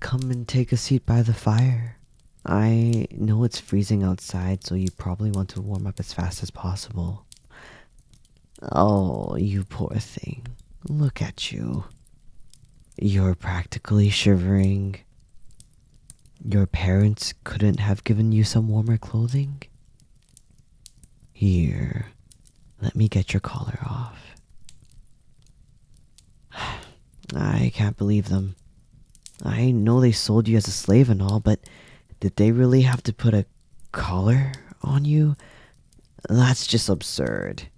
Come and take a seat by the fire. I know it's freezing outside, so you probably want to warm up as fast as possible. Oh, you poor thing. Look at you. You're practically shivering. Your parents couldn't have given you some warmer clothing? Here, let me get your collar off. I can't believe them. I know they sold you as a slave and all, but did they really have to put a collar on you? That's just absurd.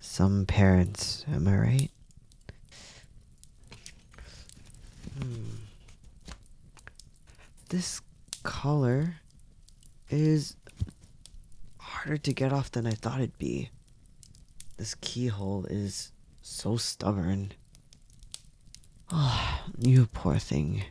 Some parents, am I right? Hmm. This collar is harder to get off than I thought it'd be. This keyhole is so stubborn. oh, you poor thing.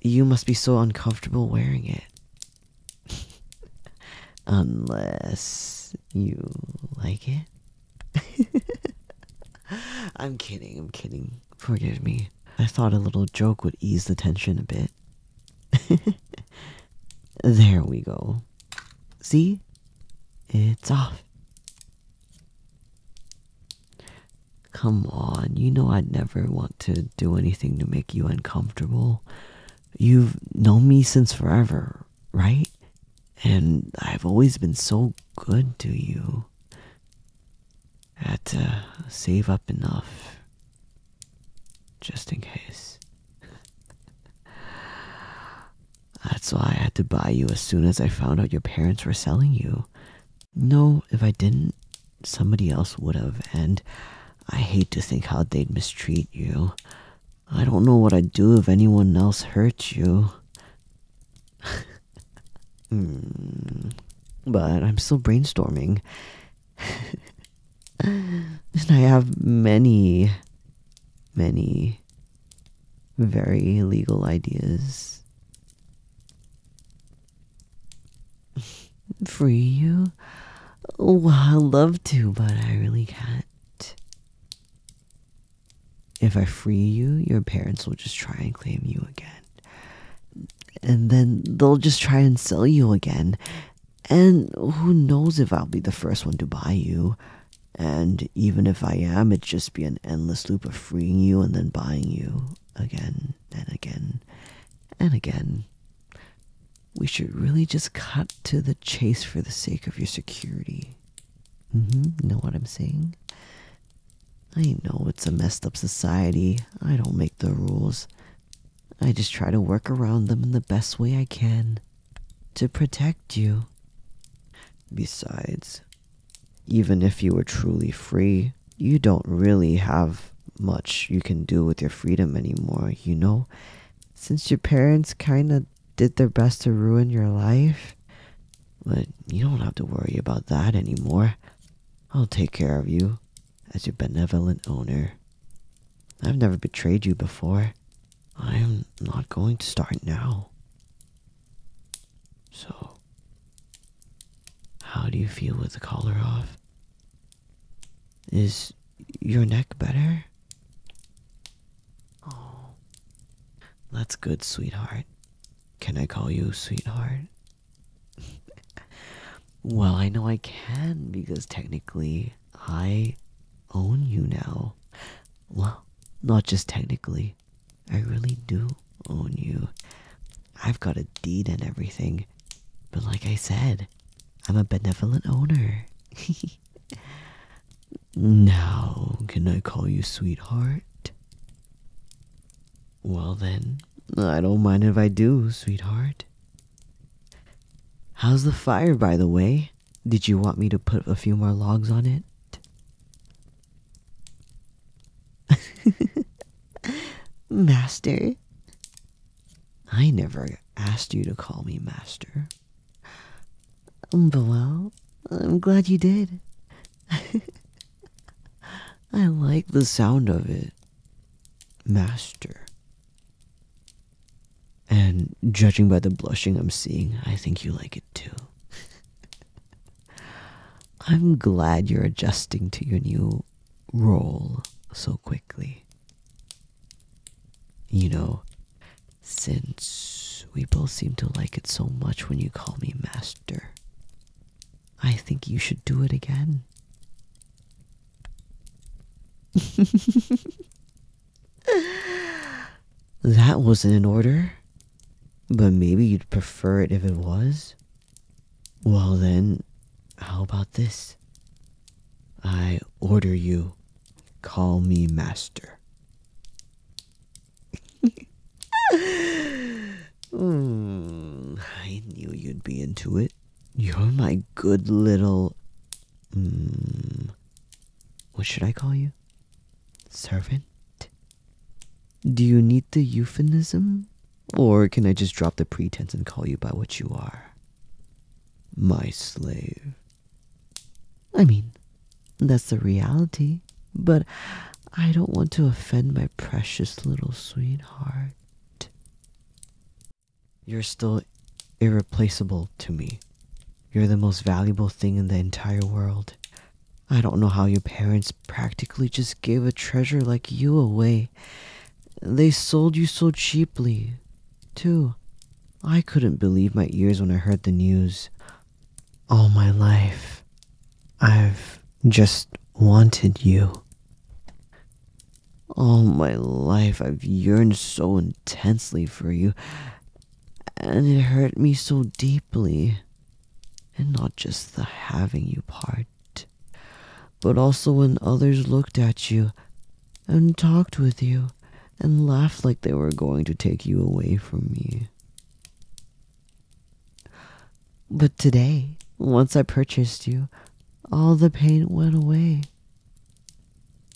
You must be so uncomfortable wearing it. Unless you like it. I'm kidding, I'm kidding. Forgive me. I thought a little joke would ease the tension a bit. there we go. See? It's off. Come on, you know I'd never want to do anything to make you uncomfortable. You've known me since forever, right? And I've always been so good to you. I had to save up enough just in case. That's why I had to buy you as soon as I found out your parents were selling you. No, if I didn't, somebody else would have, and I hate to think how they'd mistreat you. I don't know what I'd do if anyone else hurt you. Hmm. but I'm still brainstorming. and I have many, many very legal ideas. Free you? Oh, I'd love to, but I really can't. If I free you, your parents will just try and claim you again. And then they'll just try and sell you again. And who knows if I'll be the first one to buy you. And even if I am, it'd just be an endless loop of freeing you and then buying you again and again and again. We should really just cut to the chase for the sake of your security. Mm-hmm. Know what I'm saying? I know it's a messed up society. I don't make the rules. I just try to work around them in the best way I can to protect you. Besides, even if you were truly free, you don't really have much you can do with your freedom anymore, you know? Since your parents kinda did their best to ruin your life. But you don't have to worry about that anymore. I'll take care of you as your benevolent owner. I've never betrayed you before. I am not going to start now. So, how do you feel with the collar off? Is your neck better? Oh, that's good, sweetheart. Can I call you sweetheart? well, I know I can because technically I own you now. Well, not just technically, I really do own you. I've got a deed and everything, but like I said, I'm a benevolent owner. now, can I call you sweetheart? Well, then, I don't mind if I do, sweetheart. How's the fire, by the way? Did you want me to put a few more logs on it? master? I never asked you to call me master. But well, I'm glad you did. I like the sound of it, Master. And judging by the blushing I'm seeing, I think you like it too. I'm glad you're adjusting to your new role so quickly. You know, since we both seem to like it so much when you call me Master, I think you should do it again. that wasn't an order. But maybe you'd prefer it if it was? Well then, how about this? I order you. Call me master mm, I knew you'd be into it. You're my good little. Mm, what should I call you? Servant? Do you need the euphemism? Or can I just drop the pretense and call you by what you are? My slave. I mean, that's the reality. But I don't want to offend my precious little sweetheart. You're still irreplaceable to me. You're the most valuable thing in the entire world. I don't know how your parents practically just gave a treasure like you away. They sold you so cheaply, too. I couldn't believe my ears when I heard the news all my life, I've just wanted you. All my life, I've yearned so intensely for you, and it hurt me so deeply. And not just the having you part, but also when others looked at you and talked with you and laughed like they were going to take you away from me. But today, once I purchased you, all the pain went away.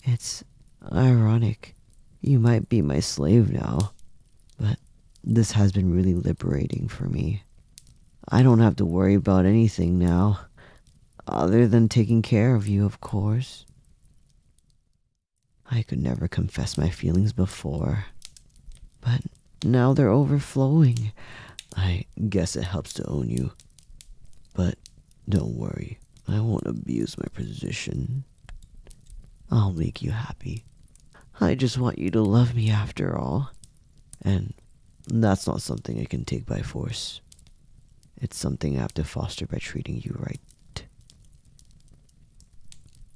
It's ironic. You might be my slave now, but this has been really liberating for me. I don't have to worry about anything now, other than taking care of you, of course. I could never confess my feelings before, but now they're overflowing. I guess it helps to own you. But don't worry, I won't abuse my position. I'll make you happy. I just want you to love me after all. And that's not something I can take by force. It's something I have to foster by treating you right.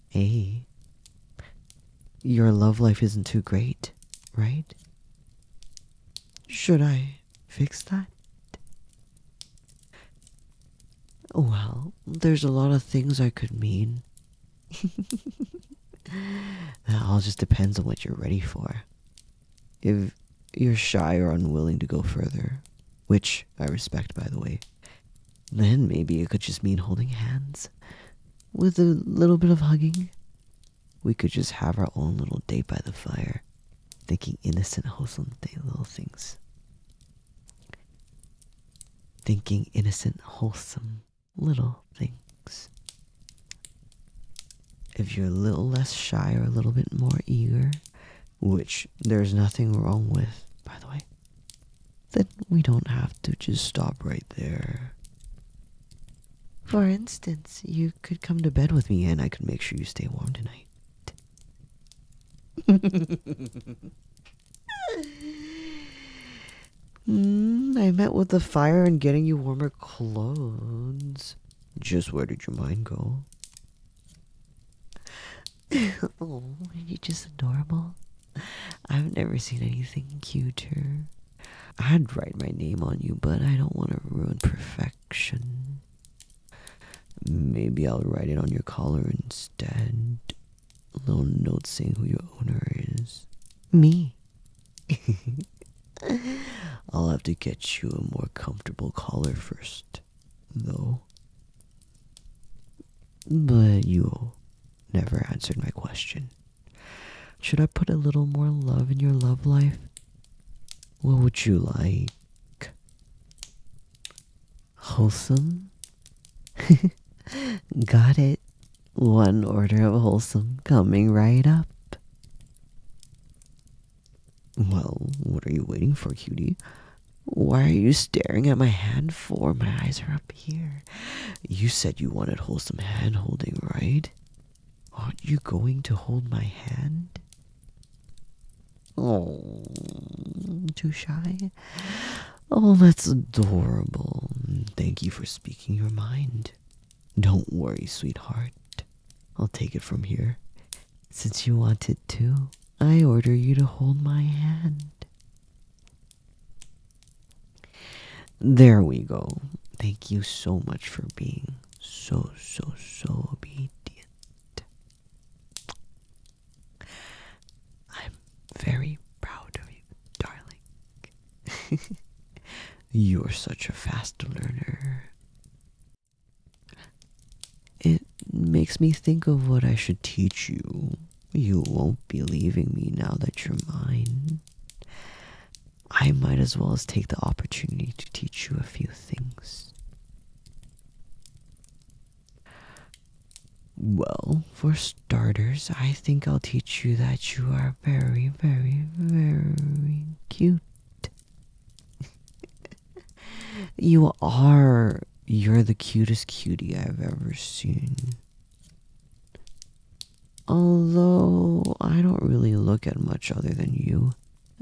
Hey, your love life isn't too great, right? Should I fix that? Well, there's a lot of things I could mean. that all just depends on what you're ready for. If you're shy or unwilling to go further, which I respect, by the way, then maybe it could just mean holding hands. With a little bit of hugging. We could just have our own little date by the fire, thinking innocent, wholesome little things. Thinking innocent, wholesome little things. If you're a little less shy or a little bit more eager, which there's nothing wrong with, by the way, then we don't have to just stop right there. For instance, you could come to bed with me and I could make sure you stay warm tonight. Hmm, I met with the fire and getting you warmer clothes. Just where did your mind go? oh, are just adorable? I've never seen anything cuter. I'd write my name on you, but I don't want to ruin perfection. Maybe I'll write it on your collar instead. A little note saying who your owner is. Me. I'll have to get you a more comfortable collar first it, though. But you never answered my question. Should I put a little more love in your love life? What would you like? Wholesome? Got it. One order of wholesome coming right up. Well, what are you waiting for, cutie? Why are you staring at my hand for? My eyes are up here. You said you wanted wholesome hand holding, right? Aren't you going to hold my hand? Oh, too shy? Oh, that's adorable. Thank you for speaking your mind. Don't worry, sweetheart. I'll take it from here. Since you wanted to, I order you to hold my hand. There we go. Thank you so much for being so, so, so obedient. I'm very proud of you, darling. You're such a fast learner. It makes me think of what I should teach you. You won't be leaving me now that you're mine. I might as well as take the opportunity to teach you a few things. Well, for starters, I think I'll teach you that you are very, very, very cute. you are. You're the cutest cutie I've ever seen. Although, I don't really look at much other than you,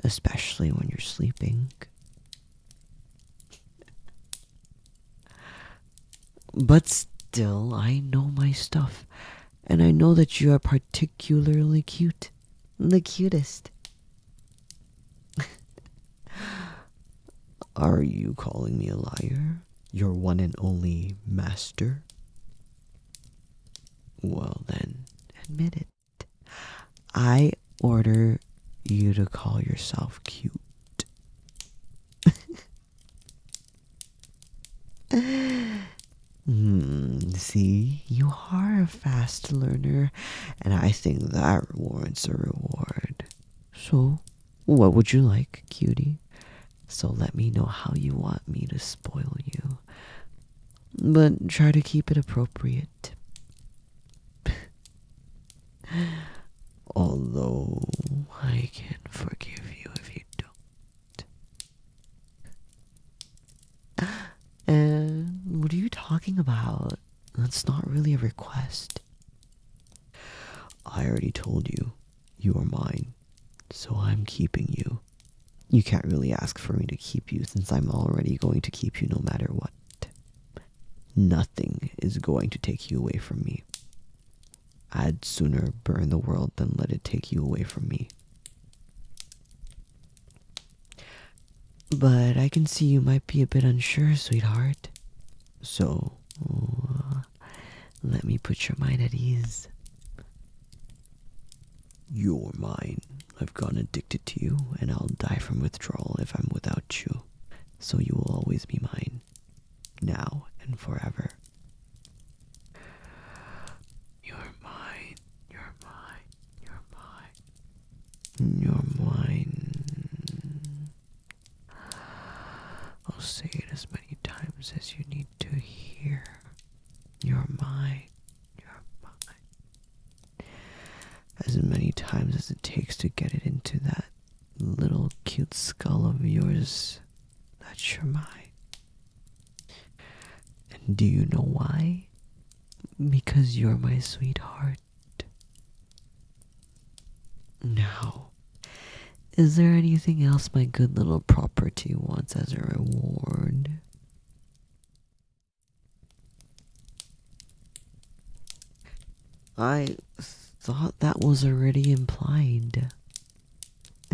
especially when you're sleeping. But still, I know my stuff, and I know that you are particularly cute the cutest. Are you calling me a liar? Your one and only master? Well, then, admit it. I order you to call yourself cute. Hmm, see, you are a fast learner, and I think that warrants a reward. So, what would you like, cutie? So, let me know how you want me to spoil you. But try to keep it appropriate. Although, I can forgive you if you don't. what are you talking about? That's not really a request. I already told you, you are mine, so I'm keeping you. You can't really ask for me to keep you since I'm already going to keep you no matter what. Nothing is going to take you away from me. I'd sooner burn the world than let it take you away from me. But I can see you might be a bit unsure, sweetheart. So, uh, let me put your mind at ease. You're mine. I've gone addicted to you, and I'll die from withdrawal if I'm without you. So you will always be mine. Now and forever. You're mine, you're mine, you're mine, you're mine. I'll say it as many times as you need to hear. You're mine, you're mine. As many times as it takes to get it into that little cute skull of yours. That's your mind. And do you know why? Because you're my sweetheart. Now, is there anything else my good little property wants as a reward? I thought that was already implied.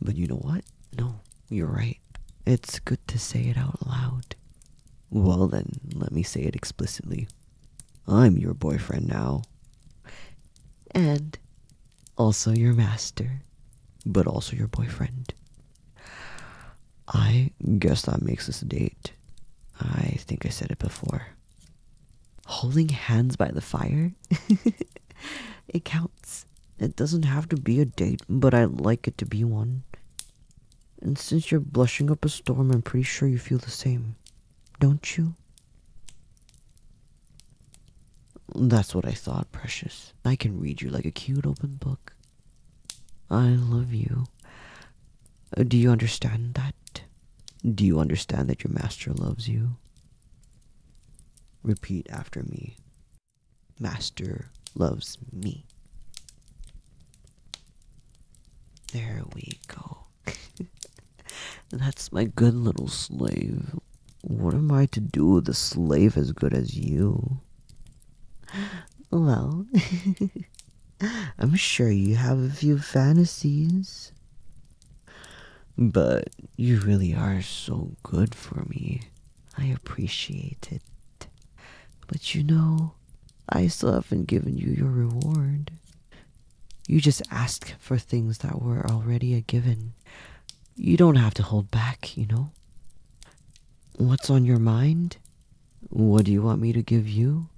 but you know what? No, you're right. It's good to say it out loud. Well, then, let me say it explicitly. I'm your boyfriend now. And also your master, but also your boyfriend. I guess that makes us a date. I think I said it before. Holding hands by the fire? it counts. It doesn't have to be a date, but I'd like it to be one. And since you're blushing up a storm, I'm pretty sure you feel the same, don't you? That's what I thought, precious. I can read you like a cute open book. I love you. Uh, do you understand that? Do you understand that your master loves you? Repeat after me. Master loves me. There we go. That's my good little slave. What am I to do with a slave as good as you? Well, I'm sure you have a few fantasies. But you really are so good for me. I appreciate it. But you know, I still haven't given you your reward. You just ask for things that were already a given. You don't have to hold back, you know? What's on your mind? What do you want me to give you?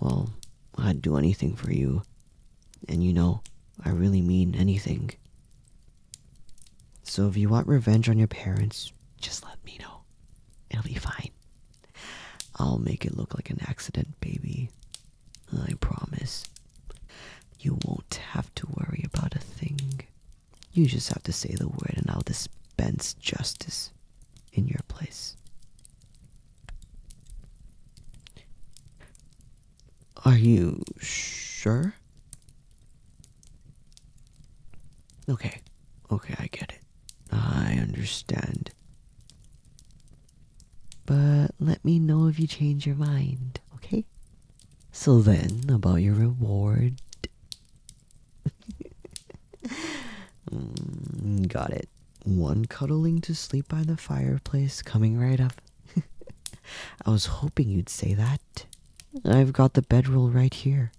Well, I'd do anything for you. And you know, I really mean anything. So if you want revenge on your parents, just let me know. It'll be fine. I'll make it look like an accident, baby. I promise. You won't have to worry about a thing. You just have to say the word and I'll dispense justice in your place. Are you sure? Okay, okay, I get it. I understand. But let me know if you change your mind, okay? So then, about your reward. Mm, got it one cuddling to sleep by the fireplace coming right up. I was hoping you'd say that. I've got the bedroll right here.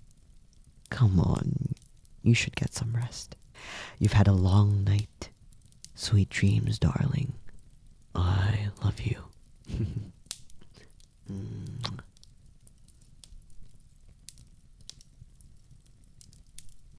Come on, you should get some rest. You've had a long night. Sweet dreams, darling. I love you. Mm.